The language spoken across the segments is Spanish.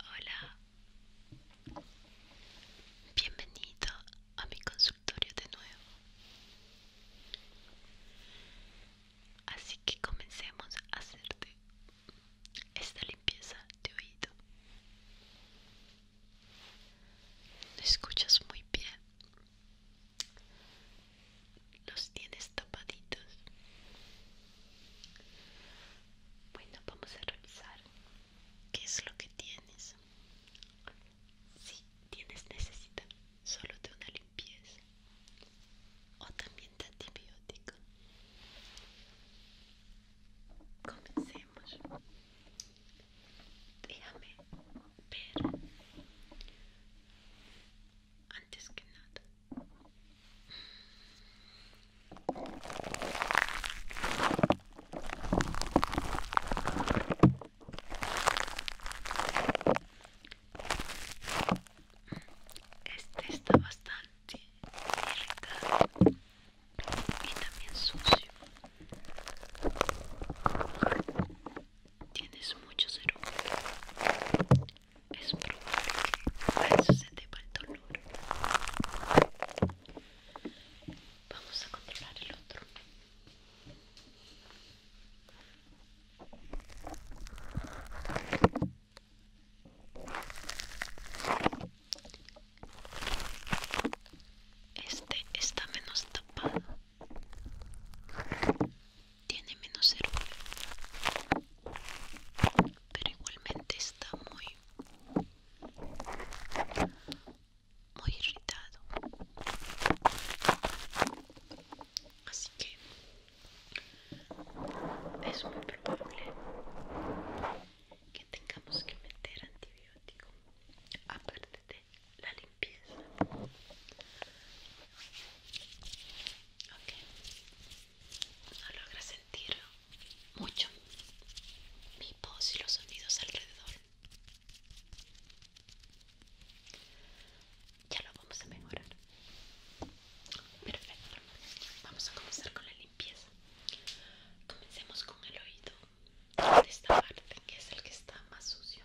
Hola, bienvenido a mi consultorio de nuevo. Así que comencemos a hacerte esta limpieza de oído. Escuchas muy bien. Los tienes tapaditos. Bueno, vamos a revisar qué es lo que tienes. Si tienes necesidad solo de una limpieza o también antibiótico. Comencemos. Déjame pero Antes que nada. Este está bastante irritado y también sucio. Tienes mucho humano. Es probable que eso se te va el dolor. Vamos a controlar el otro. Este está menos tapado. Tiene menos cerúleo. Pero igualmente está muy muy irritado. Así que es muy probable que tengamos que meter antibiótico aparte de la limpieza ok no logra sentir mucho mi voz y los sonidos alrededor ya lo vamos a mejorar. Perfecto, vamos a comenzar con la limpieza. Comencemos con el oído de esta parte, que es el que está más sucio.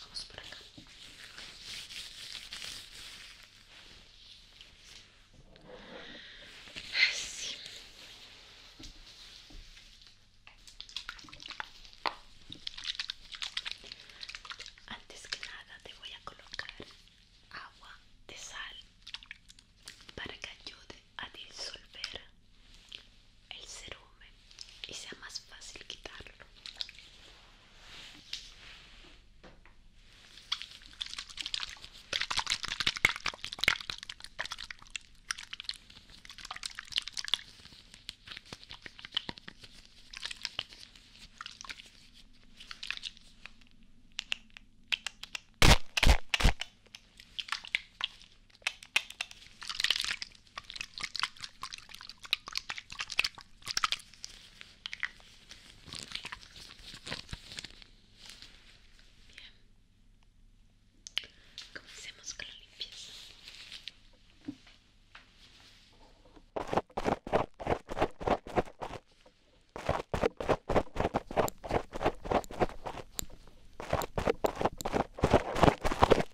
Vamos por acá. Antes que nada te voy a colocar agua de sal para que ayude a disolver el cerumen y sea más fácil quitarlo. Bien. Comencemos con la limpieza.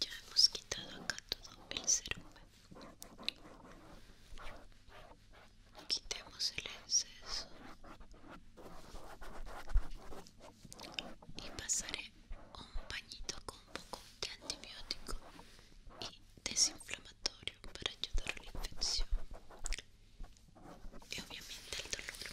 Ya hemos quitado acá todo el cerumen. Quitemos el exceso. Y pasaré un pañito con un poco de antibiótico desinflamatorio para ayudar a la infección y obviamente el dolor.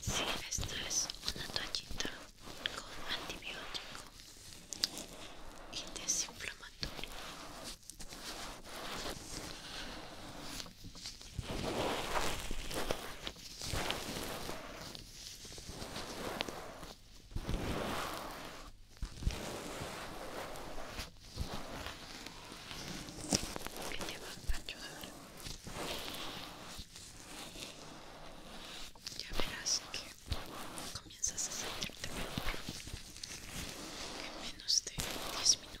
Sí, esta es una toallita con antibiótico y desinflamatorio que te va ayudar ya verás que comienzas a sentirte mejor en menos de 10 minutos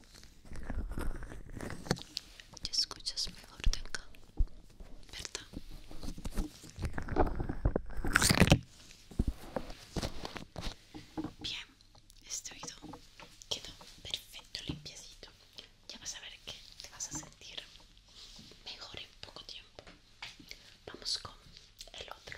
Te escuchas mejor de acá, ¿verdad? Bien, este oído quedó perfecto, limpiecito. Ya vas a ver que te vas a sentir mejor en poco tiempo. Vamos con el otro.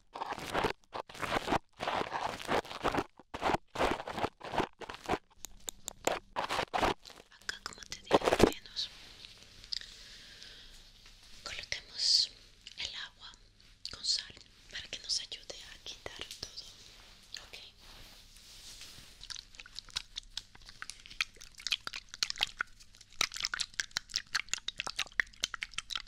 Acá como te dije menos Coloquemos el agua con sal para que nos ayude a quitar todo Ok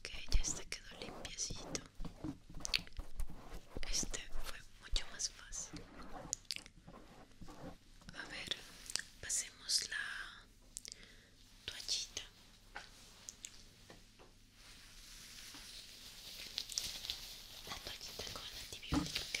Okay, ya está quedó limpiecito. Este fue mucho más fácil. A ver, pasemos la toallita. La toallita con la antibiótico, ok.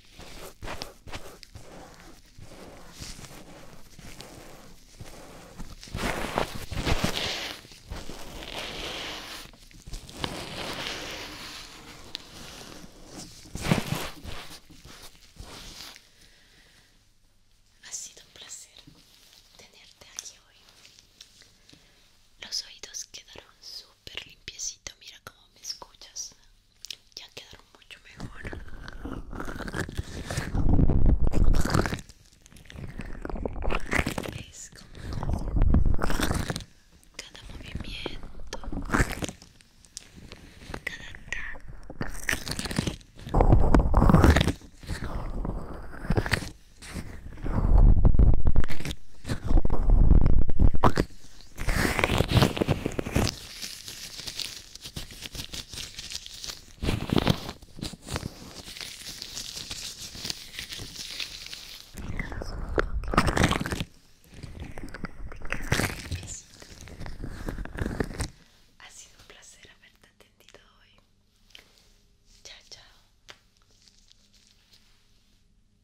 Ha sido un placer tenerte aquí hoy. Los oídos quedaron súper súper limpiecito. Mira como me escuchas. Ya quedaron mucho mejor. Es como cada movimiento, cada cada ha sido un placer haberte atendido hoy. Chao, chao.